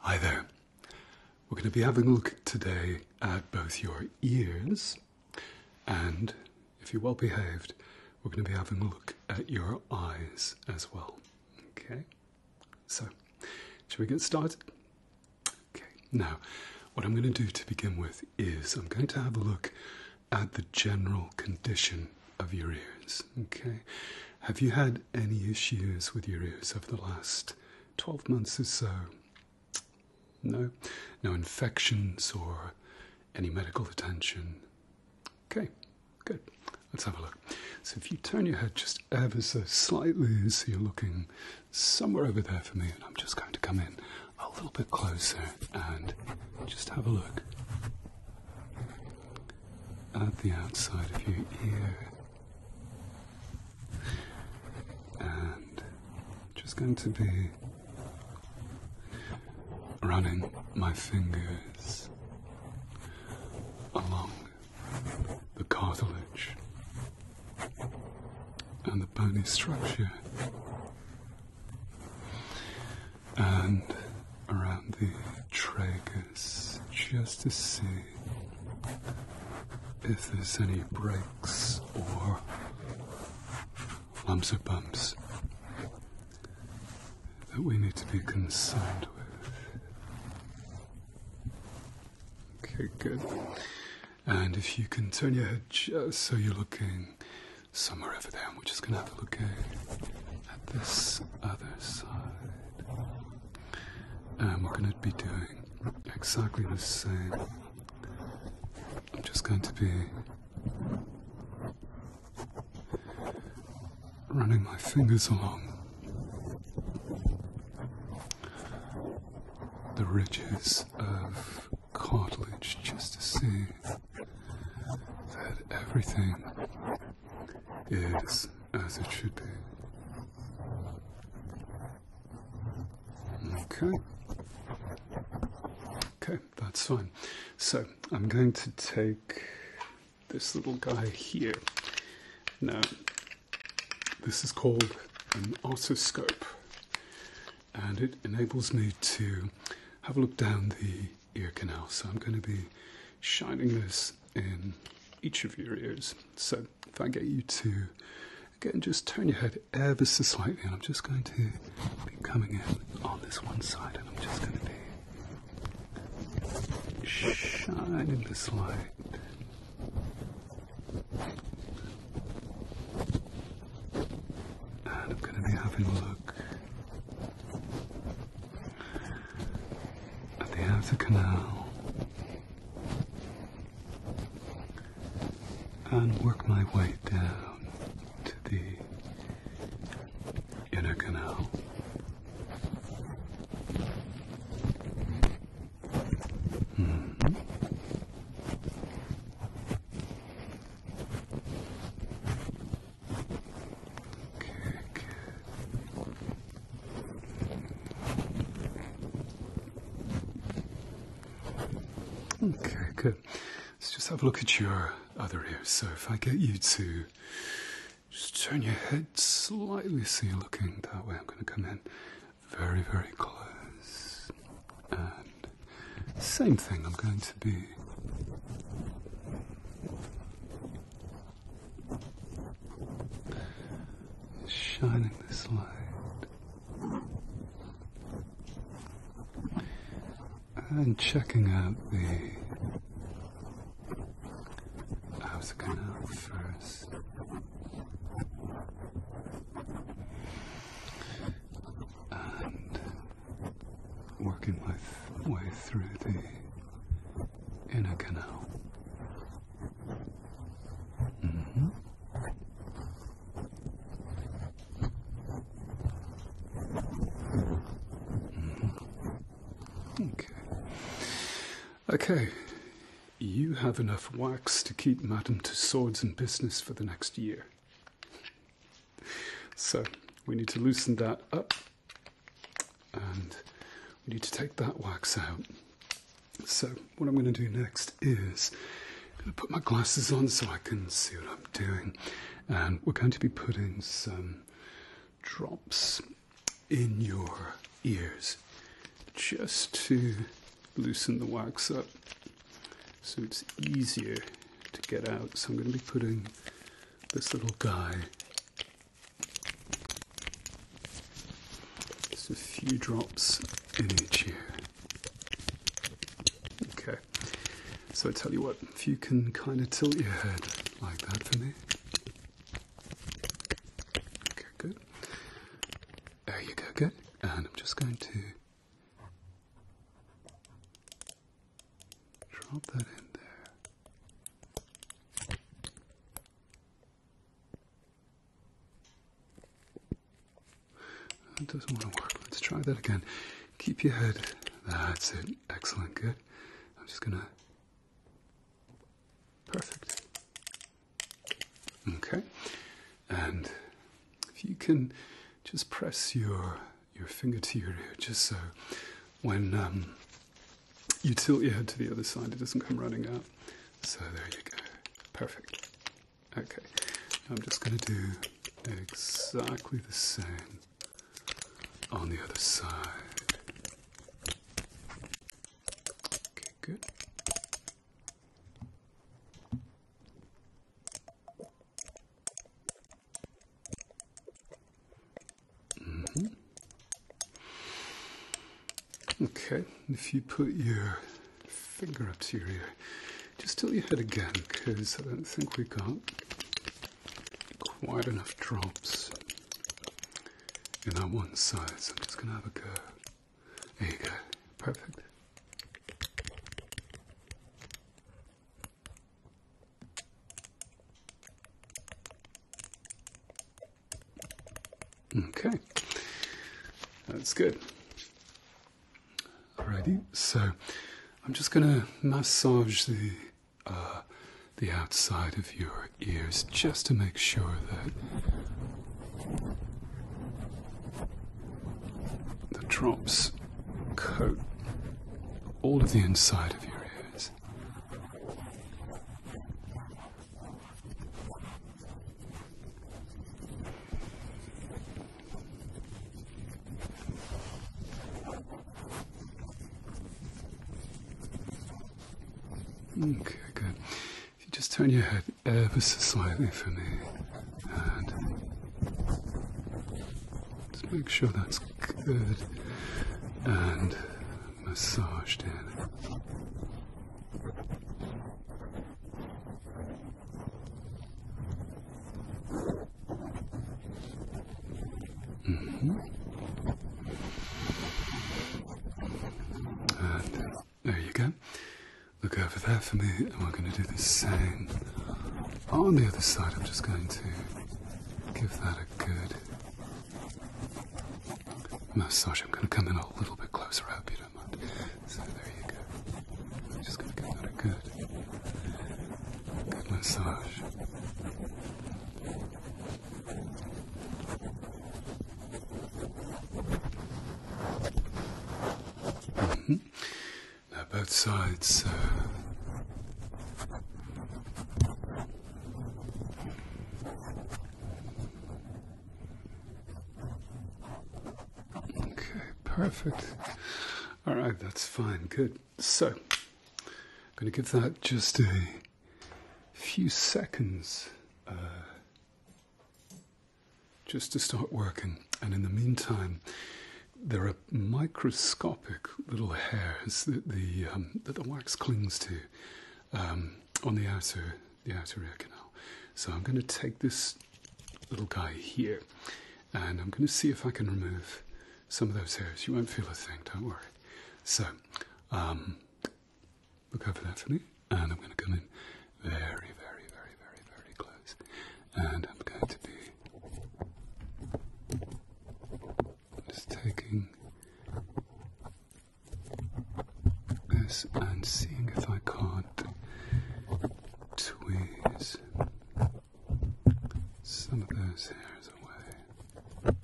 Hi there. We're going to be having a look today at both your ears and, if you're well behaved, we're going to be having a look at your eyes as well. Okay? So, shall we get started? Okay, now what I'm going to do to begin with is I'm going to have a look at the general condition of your ears. Okay? Have you had any issues with your ears over the last 12 months or so? No? No infections or any medical attention? Okay, good. Let's have a look. So, if you turn your head just ever so slightly, so you're looking somewhere over there for me, and I'm just going to come in a little bit closer and just have a look at the outside of your ear. And just going to be running my fingers along the cartilage and the bony structure and around the tragus just to see if there's any breaks or lumps or bumps that we need to be concerned with. Okay, good. And if you can turn your head just so you're looking somewhere over there, we're just going to have a look at this other side. I'm going to be doing exactly the same. I'm just going to be running my fingers along the ridges of cartilage just to see that everything Yes, as it should be. Okay. Okay, that's fine. So I'm going to take this little guy here. Now, this is called an otoscope, and it enables me to have a look down the ear canal. So I'm going to be shining this in each of your ears. So if I get you to again just turn your head ever so slightly, and I'm just going to be coming in on this one side, and I'm just going to be shining this light. And I'm going to be having a look at the end of the canal and work my way down to the inner canal. Hmm. Okay, good. Let's just have a look at your other ear. So if I get you to just turn your head slightly so you're looking that way, I'm going to come in very, very close. And same thing, I'm going to be shining this light and checking out the house canal uh, first. And working my way through the inner canal. Mm-hmm. Mm-hmm. Okay. Okay. You have enough wax to keep Madam swords and business for the next year. So we need to loosen that up and we need to take that wax out. So, what I'm going to do next is going to put my glasses on so I can see what I'm doing, and we're going to be putting some drops in your ears just to loosen the wax up so it's easier to get out. So, I'm going to be putting this little guy just a few drops in each ear. Okay, so I tell you what, if you can kind of tilt your head like that for me. Okay, good. There you go, good. And I'm just going to drop that in there. That doesn't want to work. Let's try that again. Keep your head. That's it. Excellent. Good. I'm just going to. Perfect. Okay. And if you can just press your your finger to your ear just so when um, you tilt your head to the other side, it doesn't come running out. So there you go. Perfect. Okay, I'm just going to do exactly the same on the other side. Okay, good. Mm-hmm. Okay, if you put your finger up to your ear, just tilt your head again because I don't think we got quite enough drops in that one side, so I'm just going to have a go. There you go, perfect. Okay, that's good. Alrighty, so I'm just going to massage the uh, the outside of your ears just to make sure that the drops coat all of the inside of your ears. Okay, good. If you just turn your head ever uh, so slightly for me, and just make sure that's good. And massaged mm-hmm. in. there you go. Look over there for me, and we're going to do the same on the other side. I'm just going to give that a good Massage. I'm going to come in a little bit closer. I hope you don't mind. So there you go. I'm just going to give that a good, good massage. Mm-hmm. Now both sides. Uh, Okay, perfect. All right, that's fine. Good. So, I'm going to give that just a few seconds uh, just to start working. And in the meantime, there are microscopic little hairs that the, um, that the wax clings to um, on the outer the arterial canal. So I'm going to take this little guy here and I'm going to see if I can remove some of those hairs. You won't feel a thing, don't worry. So, um, look over that for me and I'm going to come in very, very, very, very, very close and I'm going to be just taking this and seeing if I can't tweeze some of those hairs away.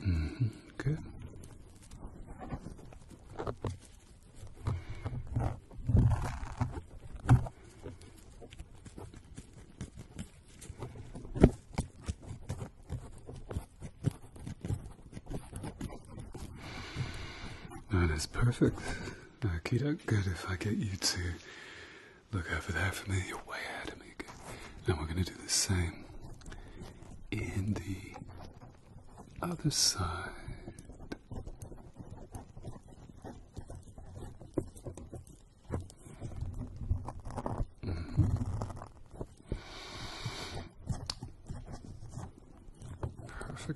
Mm-hmm, good. That is perfect. Okay, good if I get you to look over there for me. You're way out of me. Good. Now we're going to do the same in the other side.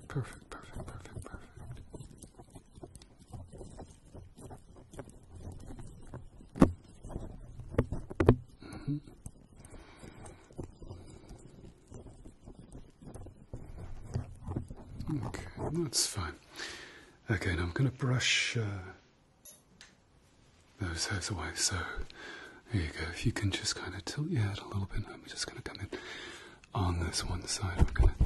Perfect, perfect, perfect, perfect, perfect. -hmm that's fine. Okay, now I'm going to brush uh, those hairs away. So there you go. If you can just kind of tilt your head a little bit, I'm just going to come in on this one side. I'm going to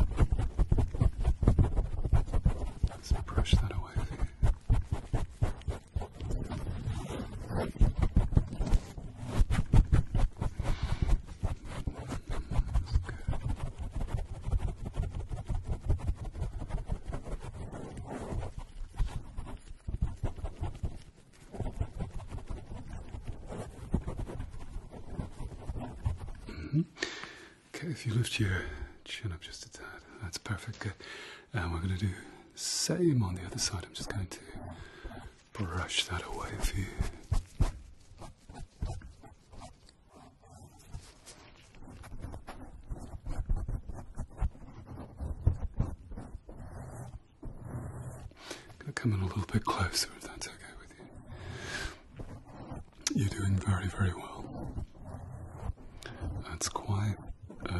brush that away. Mm-hmm. Okay, if you lift your chin up just a tad, that's perfect. Good. And we're going to do the same on the other side. I'm just going to brush that away for you. I'm going to come in a little bit closer if that's okay with you. You're doing very, very well. That's quite a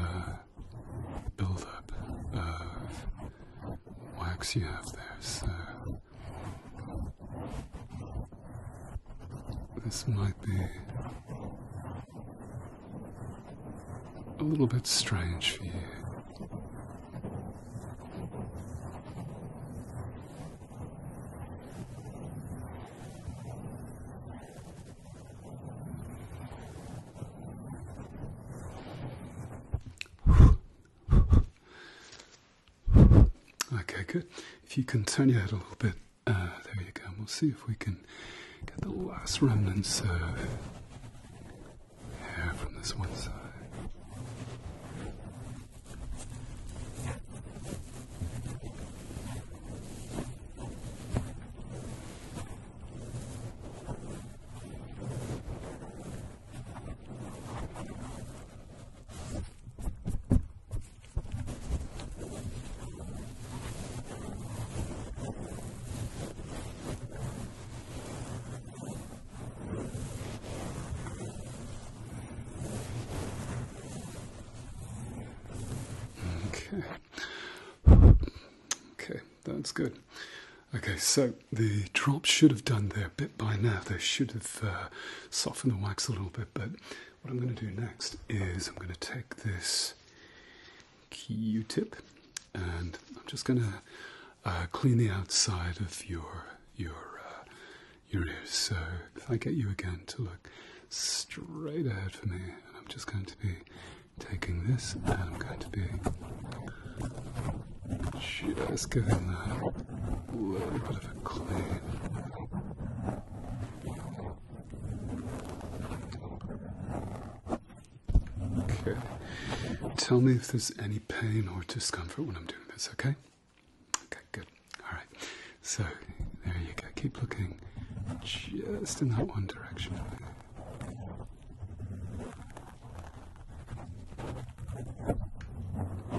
build up of wax you have there, so this might be a little bit strange for you. Okay, good. If you can turn your head a little bit, uh, there you go. we'll see if we can get the last remnants of hair from this one side. Okay. Okay, that's good. Okay, so the drop should have done there a bit by now. They should have uh, soften the wax a little bit. But what I'm going to do next is I'm going to take this Q-tip, and I'm just going to uh, clean the outside of your your uh, your ears. So if I get you again to look straight ahead for me, and I'm just going to be taking this, and I'm going to be just giving that a little bit of a clean. Okay. Tell me if there's any pain or discomfort when I'm doing this, okay? Okay, good. Alright. So, there you go. Keep looking just in that one direction.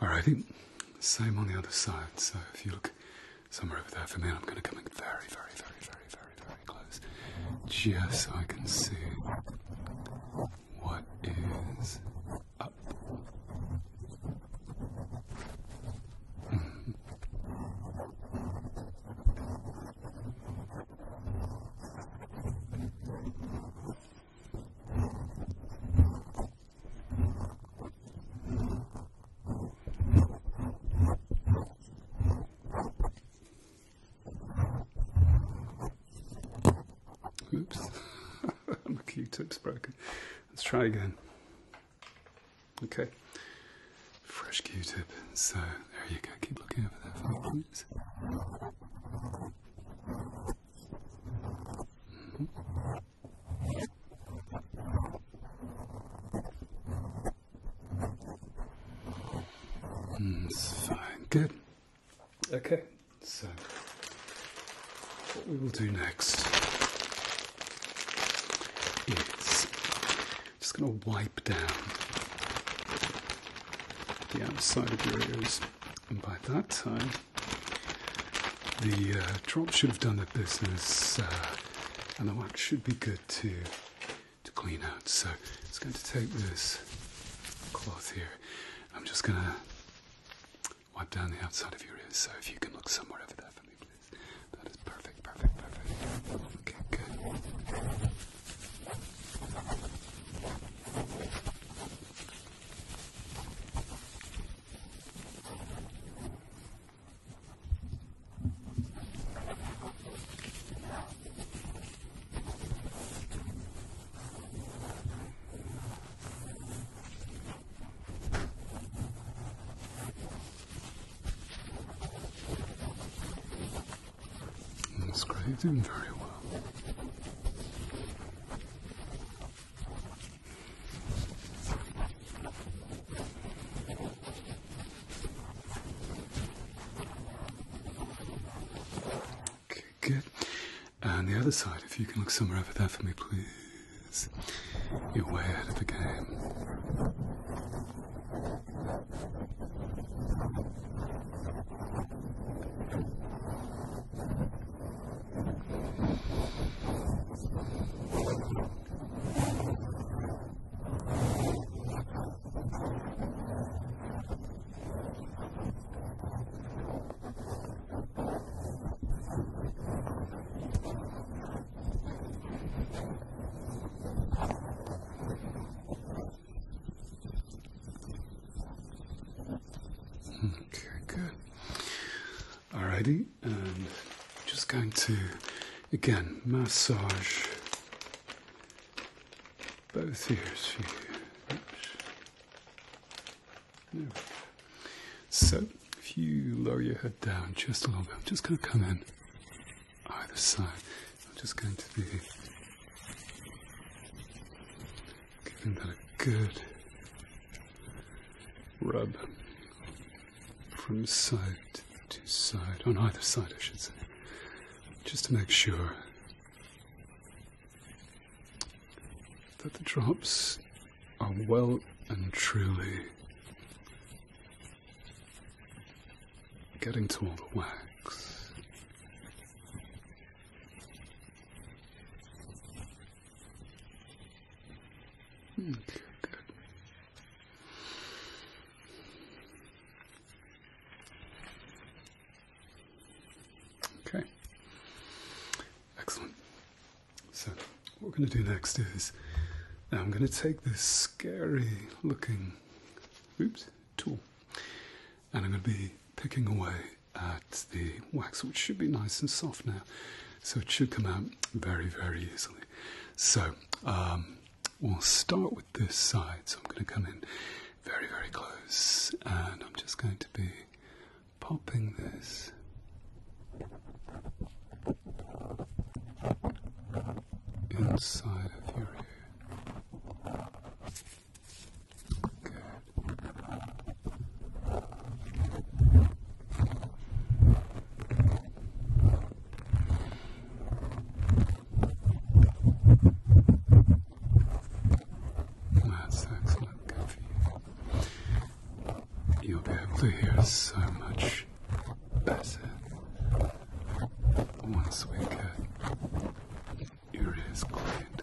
Alrighty, same on the other side. So if you look somewhere over there for me, I'm going to come in very, very, very, very, very, very close, just so I can see what is up. Hmm. Oops, my Q-tip's broken. Let's try again. Okay, fresh Q-tip. So there you go. Keep looking over there for me, please. Mm it's fine. Good. Okay. So, what we will do next is just going to wipe down the outside of your ears, and by that time, the uh, drop should have done the business, uh, and the wax should be good to to clean out. So it's going to take this cloth here. I'm just going to wipe down the outside of your ears. So if you can look somewhere over there for me, please. That is perfect, perfect, perfect. Okay, good. This grave very well. Okay, good. And the other side, if you can look somewhere over there for me, please. You're way out of the game. Okay, hmm, good. Alrighty, and just going to again massage both ears for So if you lower your head down just a little bit, I'm just going to come in either side. I'm just going to be giving that a good Rub from side to side, on either side, I should say, just to make sure that the drops are well and truly getting to all the wax. Hmm, okay, excellent. So, what we're going to do next is I'm going to take this scary looking oops, tool and I'm going to be picking away at the wax, which should be nice and soft now. So it should come out very, very easily. So um, we'll start with this side. So I'm going to come in very, very close and I'm just going to be popping this. Inside of your ear. Good. That's excellent, Goofy. You'll be able to hear so much better once we get your ears cleaned.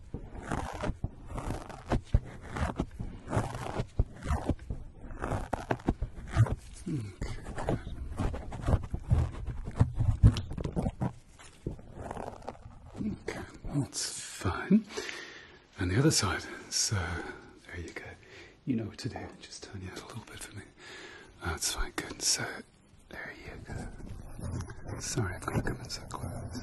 Okay, that's fine. And the other side. So there you go. You know what to do. Just turn your head a little bit for me. That's fine. Good. So there you go. Sorry, I've got to come in so close.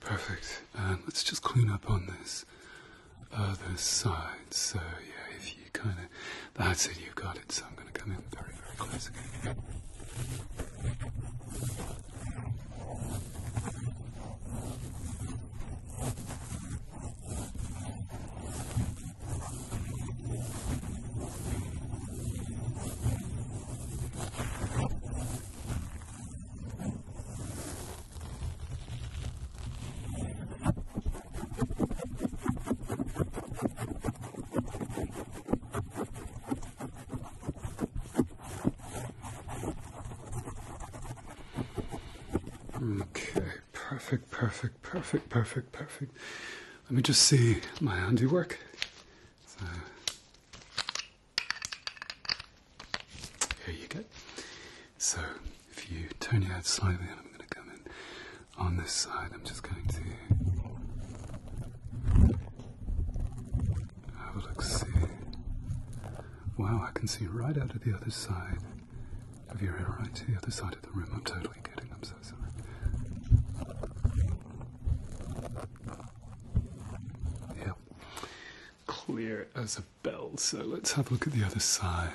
Perfect. let's just clean up on this other side. So yeah, if you kind of, that's it, you've got it. So I'm going to come in very, very close again. Okay, perfect, perfect, perfect, perfect, perfect. Let me just see my handiwork. So, here you go. So if you turn your head slightly, I'm going to come in on this side, I'm just going to have a look see. Wow, I can see right out of the other side of your ear, right to the other side of the room. I'm totally kidding, I'm so sorry. Yep, clear as a bell, so let's have a look at the other side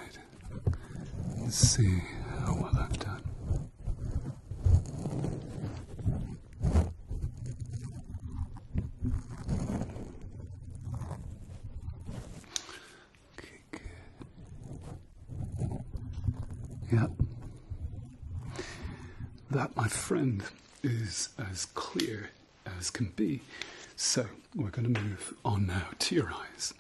and see how well I've done. Okay, Yeah. That, my friend, is as clear as can be. So we're going to move on now to your eyes.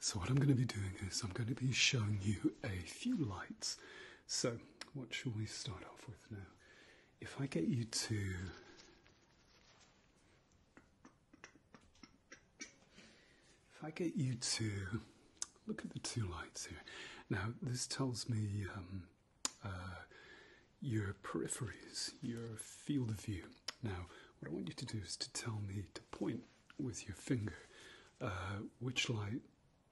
So what I'm going to be doing is I'm going to be showing you a few lights. So what shall we start off with now? If I get you to if I get you to look at the two lights here. Now this tells me um, uh, your peripheries, your field of view. Now, what I want you to do is to tell me to point with your finger uh, which light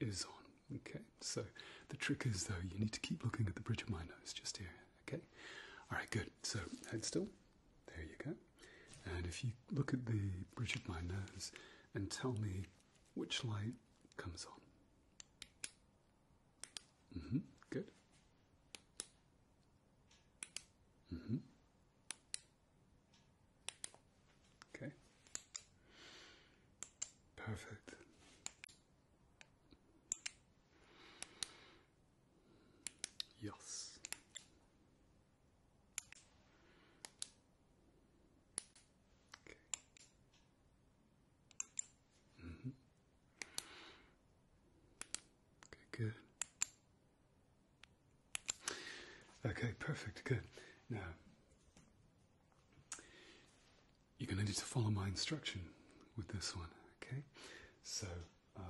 is on. Okay, so the trick is though you need to keep looking at the bridge of my nose just here. Okay, all right, good. So head still. There you go. And if you look at the bridge of my nose and tell me which light comes on. Mm-hmm. Good. Mm-hmm. Okay. Perfect. Yes. Okay. Mm-hmm. Okay, good. Okay, perfect, good. Now, you're going to need to follow my instruction with this one, okay? So, uh,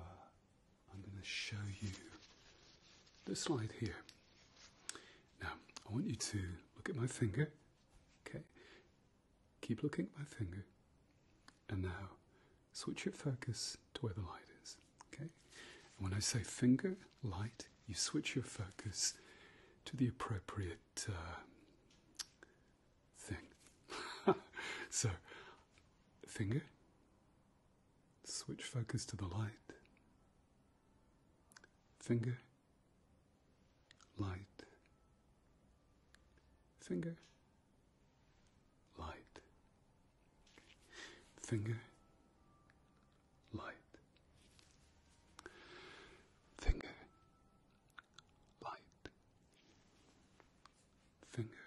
I'm going to show you this slide here. Now, I want you to look at my finger, okay? Keep looking at my finger. And now switch your focus to where the light is. Okay? when I say finger, light, you switch your focus to the appropriate uh, thing. so, finger, switch focus to the light. Finger, light, finger, light. Finger, light. Finger, light. Finger,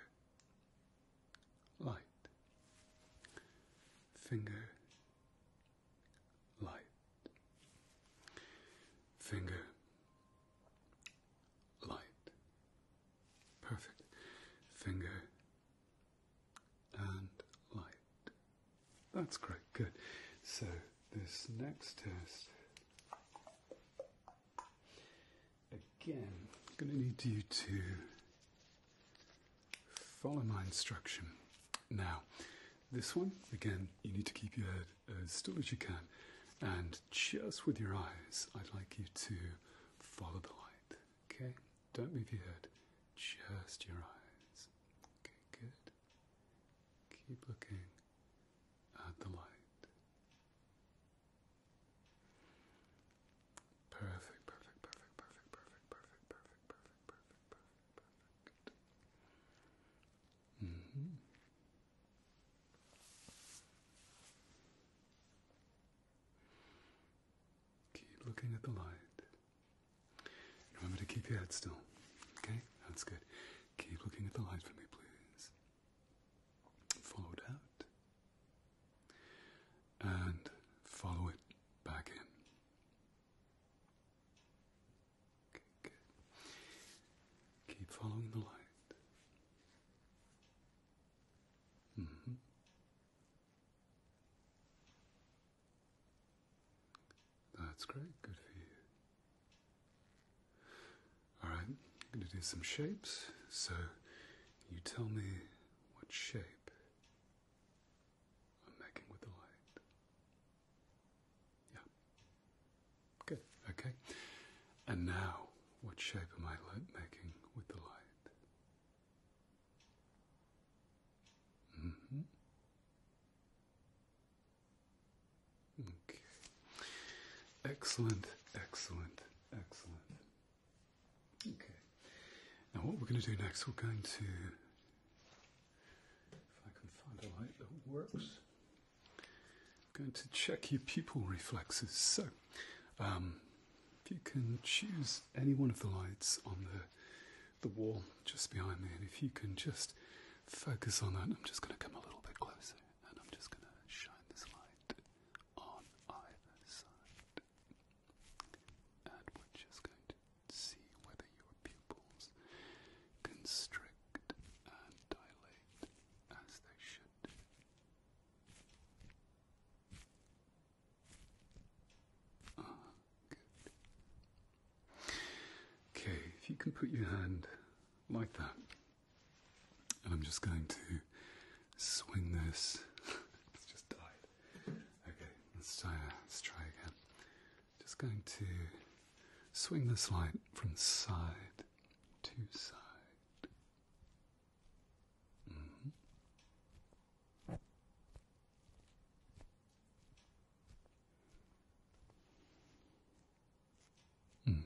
light. Finger, light. Finger, light. Perfect. Finger and light. That's great, good. So, this next test. Again, I'm going to need you to follow my instruction. Now, this one, again, you need to keep your head as still as you can. And just with your eyes, I'd like you to follow the light. Okay? Don't move your head. Just your eyes. Okay, good. Keep looking at the light. Perfect, perfect, perfect, perfect, perfect, perfect, perfect, perfect, perfect, perfect, perfect. Mm-hmm. Keep looking at the light. Remember to keep your head still. Okay? That's good. Keep looking at the light for me, please. Follow it out. And follow it back in. Okay, Keep following the light. Mm-hmm. That's great, good for you. Alright, I'm going to do some shapes. So you tell me what shape I'm making with the light. Yeah. Good. Okay. And now, what shape am I making with the light? Mm-hmm. Okay. Excellent, excellent, excellent. Okay. Now, what we're going to do next, we're going to. If I can find a light that works. I'm going to check your pupil reflexes. So, um, you can choose any one of the lights on the the wall just behind me, and if you can just focus on that, I'm just going to come a little bit closer, and I'm just going to shine this light on either side, and we're just going to see whether your pupils constrict and dilate as they should Okay, if you can put your hand like that, and I'm just going to swing this. it's just died. Okay, let's try, let's try again. Just going to swing this light from side to side Mm -hmm.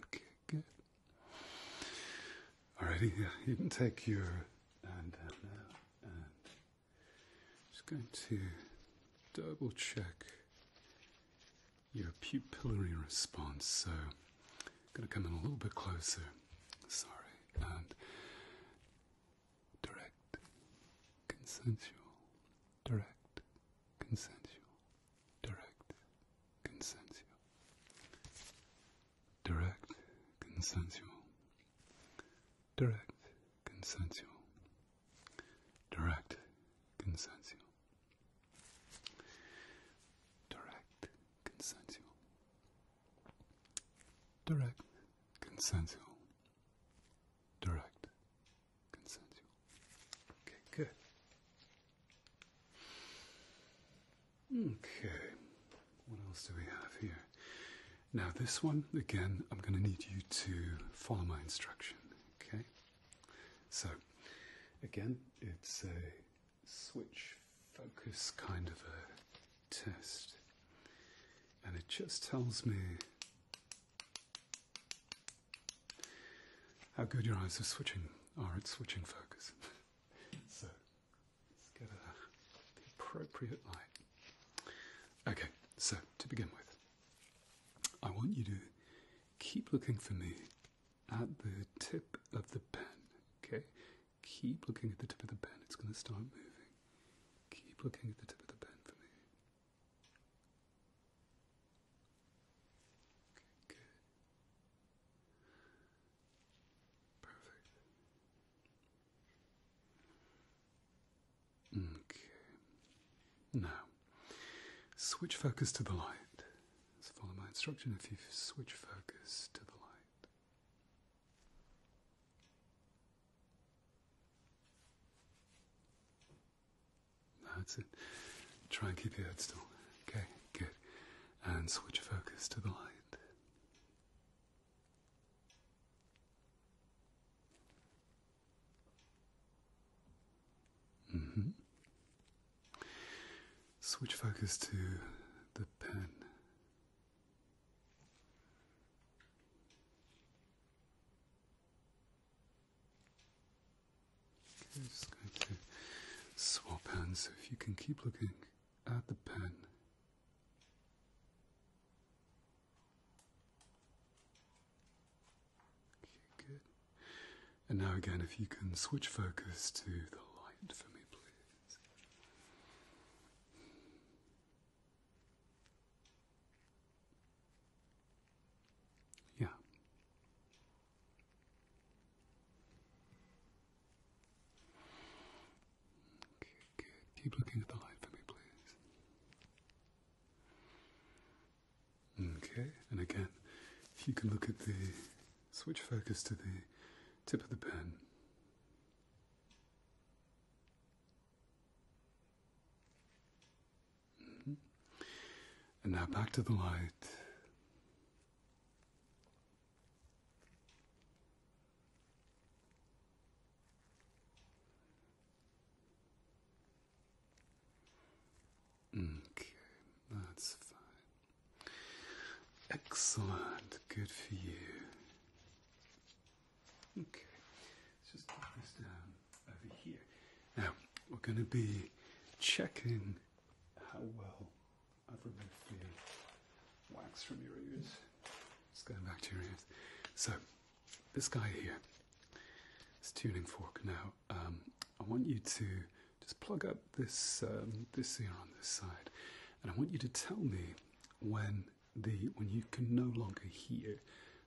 Okay, good. Alrighty, yeah, you can take your hand uh, down now, I'm just going to double check your pupillary response. So I'm going to come in a little bit closer. Sorry. direct, consensual, direct, consensual, direct, consensual, direct, consensual, direct, consensual, direct, consensual. Direct, consensual. Direct, consensual. Direct, consensual. Okay, good. Okay, what else do we have here? Now, this one, again, I'm going to need you to follow my instruction, okay? So, again, it's a switch focus kind of a test. And it just tells me how good your eyes are switching are at switching focus. so let's get a, appropriate light. Okay, so to begin with, I want you to keep looking for me at the tip of the pen. Okay, keep looking at the tip of the pen. It's going to start moving. Keep looking at the tip of the pen for me. Okay, Perfect. Okay. Now, switch focus to the light follow my instruction if you switch focus to the light. That's it. Try and keep your head still. Okay, good. And switch focus to the light. Mm-hmm. Switch focus to the pen. Okay, swap pen. so if you can keep looking at the pen. Okay, good. And now again, if you can switch focus to the light for me, please. Yeah. Okay, Keep looking at the light for me, please. Okay, and again, if you can look at the Switch focus to the tip of the pen. Mm-hmm. And now back to the light. Okay, that's fine. Excellent, good for you. Okay, let's just put this down over here. Now, we're going to be checking how well I've removed the wax from your ears. It's going back to your ears. So, this guy here, this tuning fork now, um, I want you to just plug up this um, this here on this side, and I want you to tell me when the when you can no longer hear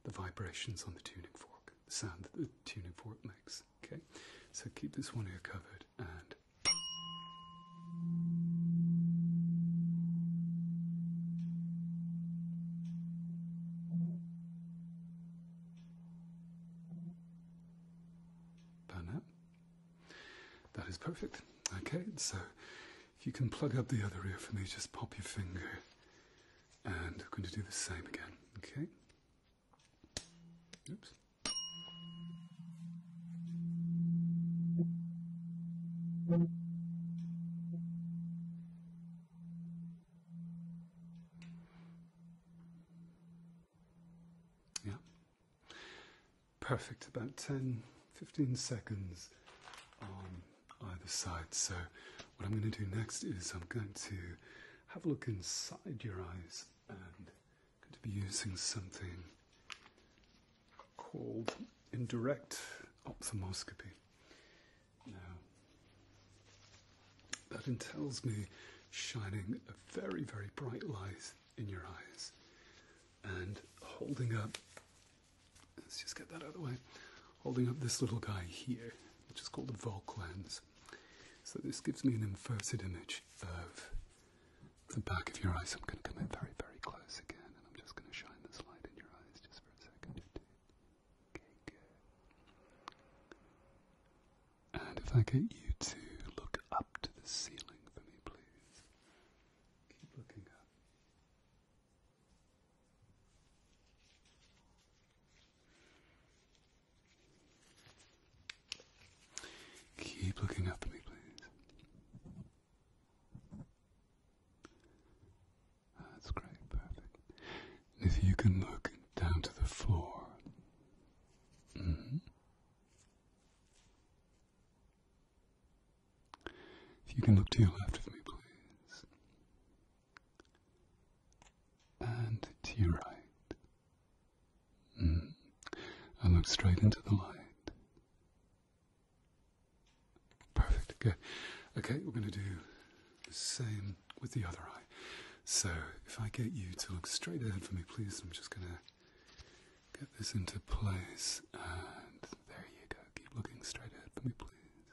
the vibrations on the tuning fork, the sound that the tuning fork makes. Okay, so keep this one ear covered and. Done that is perfect. Okay, so if you can plug up the other ear for me, just pop your finger. And we're going to do the same again. Okay? Oops. Yeah, Perfect, about 10, 15 seconds on either side. So, what I'm going to do next is I'm going to have a look inside your eyes and I'm going to be using something called indirect ophthalmoscopy. Now, that entails me shining a very, very bright light in your eyes and holding up, let's just get that out of the way, holding up this little guy here, which is called a Volk lens. So this gives me an inverted image of the back of your eyes. I'm going to come in very, very close again, and I'm just going to shine this light in your eyes just for a second. Okay, good. And if I get you to look up to the ceiling for me, please. Keep looking up. Keep looking up for me, please. That's great, perfect. if you can look down to the floor. Mm-hmm. If you can look to your left of me, please. And to your right. Mm. And look straight into the light. Perfect. Okay. Okay, we're going to do the same with the other eye. So, if I get you to look straight ahead for me, please, I'm just going to get this into place, and there you go. Keep looking straight ahead for me, please.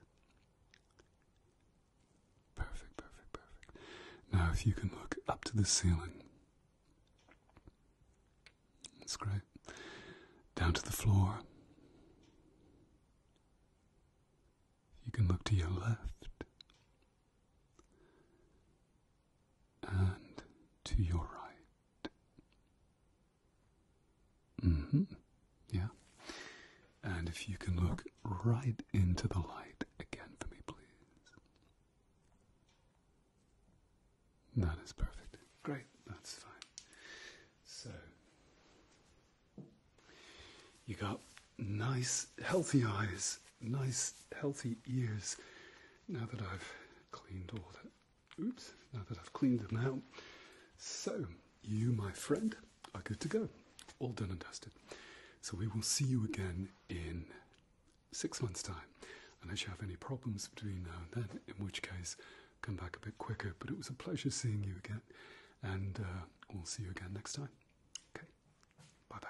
Perfect, perfect, perfect. Now, if you can look up to the ceiling, that's great. Down to the floor. You can look to your left and to your right. Mm-hmm. Yeah. And if you can look right into the light again for me, please. That is perfect. Great, that's fine. So, you got nice, healthy eyes, nice, healthy ears, now that I've cleaned all that. Oops, now that I've cleaned them out. So, you, my friend, are good to go. All done and dusted. So, we will see you again in six months' time. Unless you have any problems between now and then, in which case, come back a bit quicker. But it was a pleasure seeing you again, and uh, we'll see you again next time. Okay, bye bye.